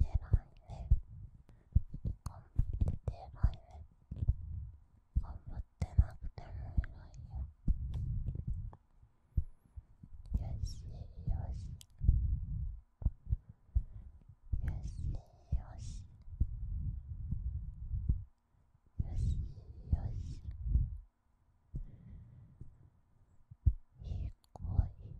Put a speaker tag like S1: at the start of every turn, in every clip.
S1: 頑張って偉いね頑張ってなくても偉いよよしよしよしよしよしよしいい子い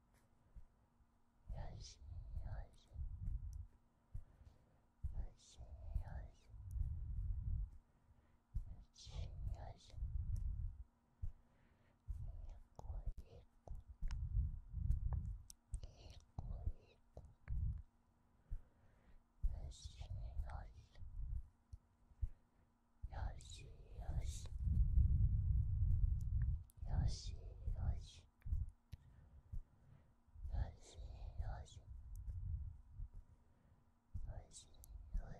S1: 有声，有声，有声，有声，有声，有声，有声，有声。Yoshi, Yoshi, Yoshi, Yoshi, Yoshi, Yoshi, Yoshi, Yoshi, Yoshi.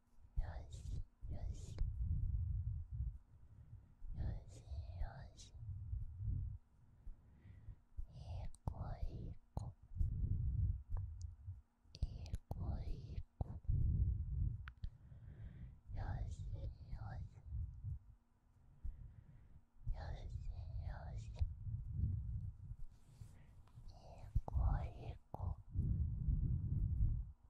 S1: 用心，用心，用心，用心。一个，一个，一个，一个。用心，用心，用心，用心。一个，一个。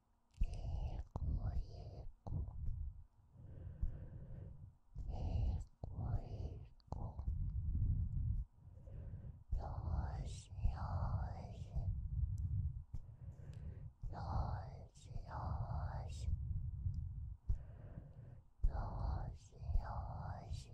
S1: 一个一个，一个一个，钥匙钥匙，钥匙钥匙，钥匙钥匙。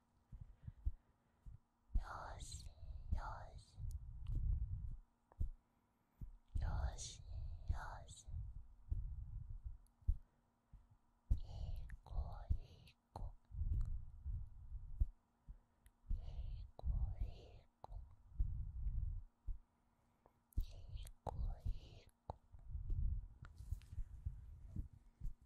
S1: よしよしよしよしいいいいいいいい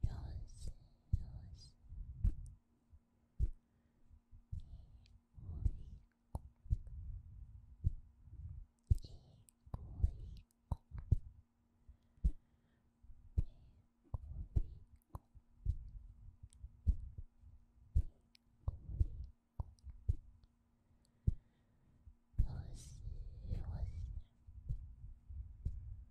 S1: 哟西哟西，一过一过，一过一过，一过一过，过过哟西哟西。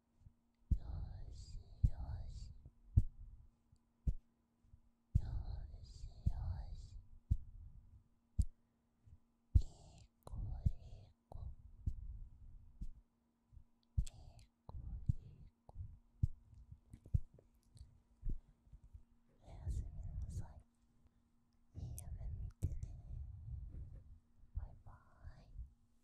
S1: しよしよしよしいい子いい子いい子いい子おやすみなさいいい夢見てねバイバーイ